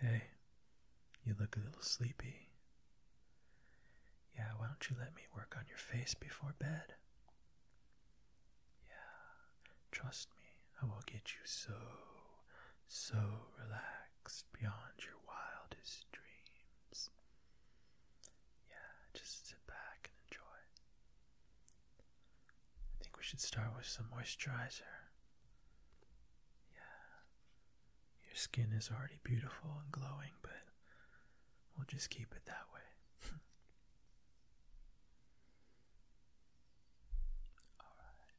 Hey, you look a little sleepy. Yeah, why don't you let me work on your face before bed? Yeah, trust me, I will get you so, so relaxed beyond your wildest dreams. Yeah, just sit back and enjoy. I think we should start with some moisturizer. Yeah. Your skin is already beautiful and glowing, but we'll just keep it that way. All right.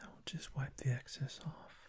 Now we'll just wipe the excess off.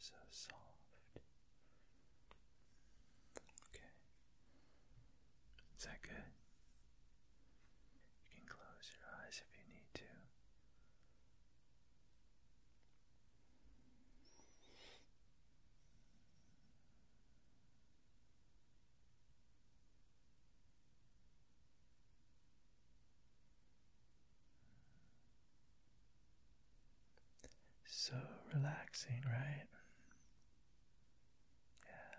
So soft. Okay. Is that good? You can close your eyes if you need to. So relaxing, right? Yeah.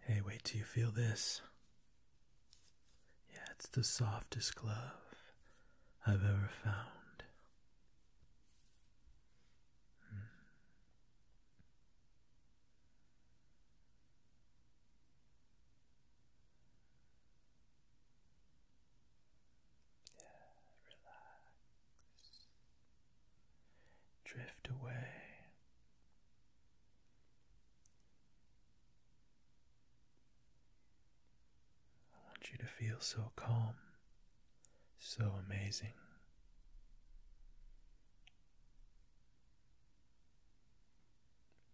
Hey, wait till you feel this. Yeah, it's the softest glove I've ever found. Hmm. Yeah, relax drift away. I want you to feel so calm, so amazing.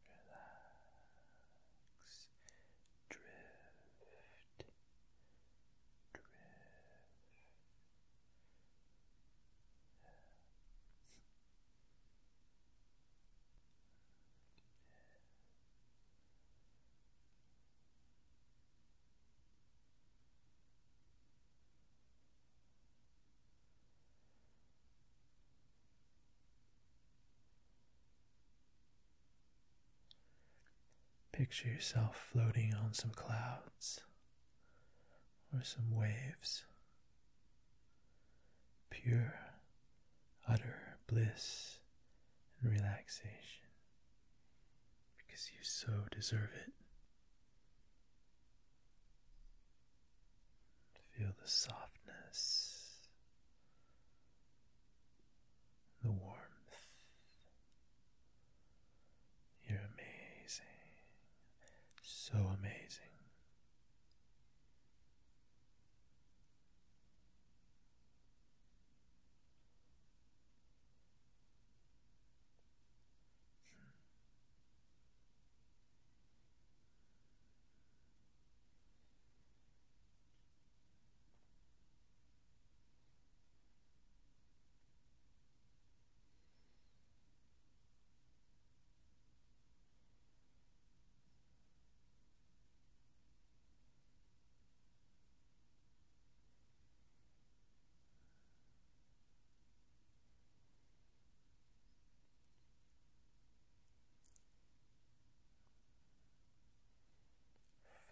Relax, drift, drift, Picture yourself floating on some clouds or some waves. Pure, utter bliss and relaxation because you so deserve it. Feel the softness, the warmth, you're amazing. So amazing.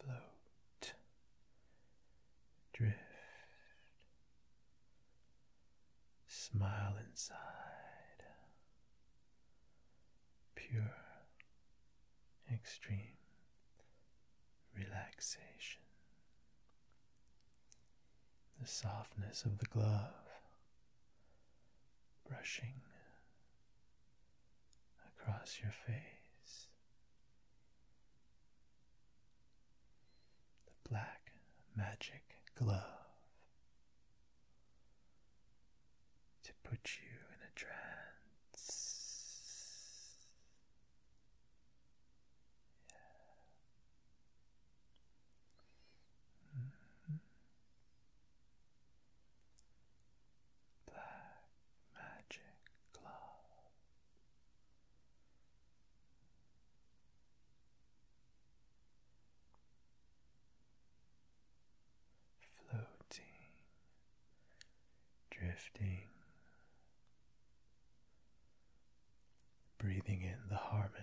Flow drift, smile inside, pure, extreme relaxation, the softness of the glove brushing across your face. The Black Magic Glove to put you in a trance. Yeah. Mm-hmm. Black magic glove floating, drifting, breathing in the harmony.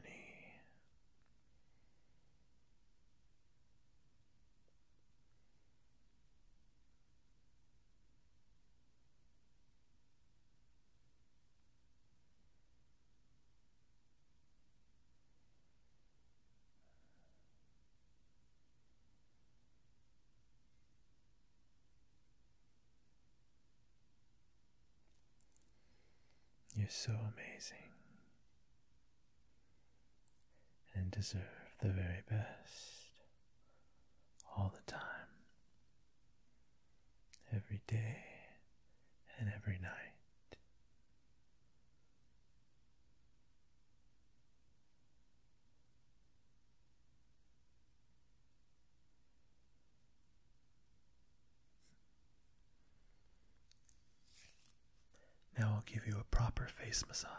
You're so amazing and deserve the very best all the time, every day and every night. Now I'll give you a proper face massage.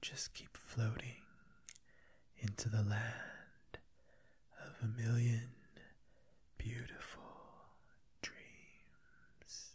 Just keep floating into the land of a million beautiful dreams.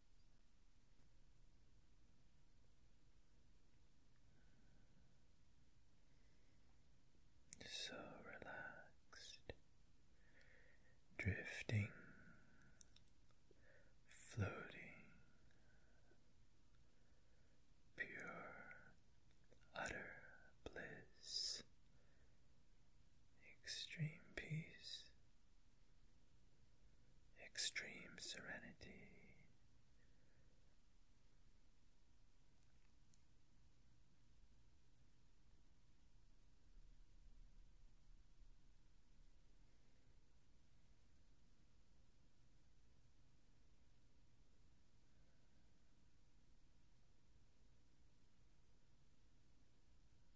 So relaxed, drifting, floating, pure, utter bliss, extreme peace extreme serenity.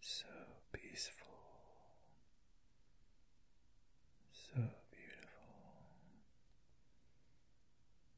So peaceful, so beautiful,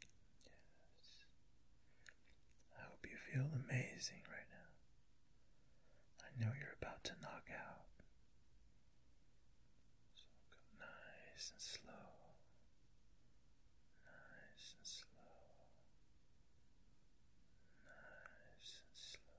Yes. I hope you feel amazing right now. I know you're about to knock out. So nice and slow. Nice and slow. Nice and slow.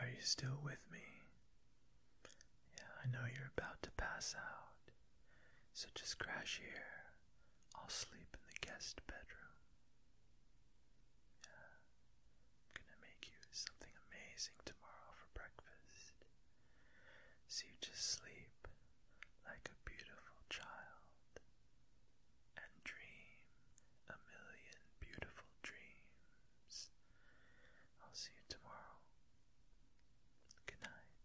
Are you still with me? Yeah, I know you're about to pass out, so just crash here. I'll sleep in the guest bedroom. Yeah, gonna make you something amazing tomorrow for breakfast. So you just sleep like a beautiful child and dream a million beautiful dreams. I'll see you tomorrow. Good night.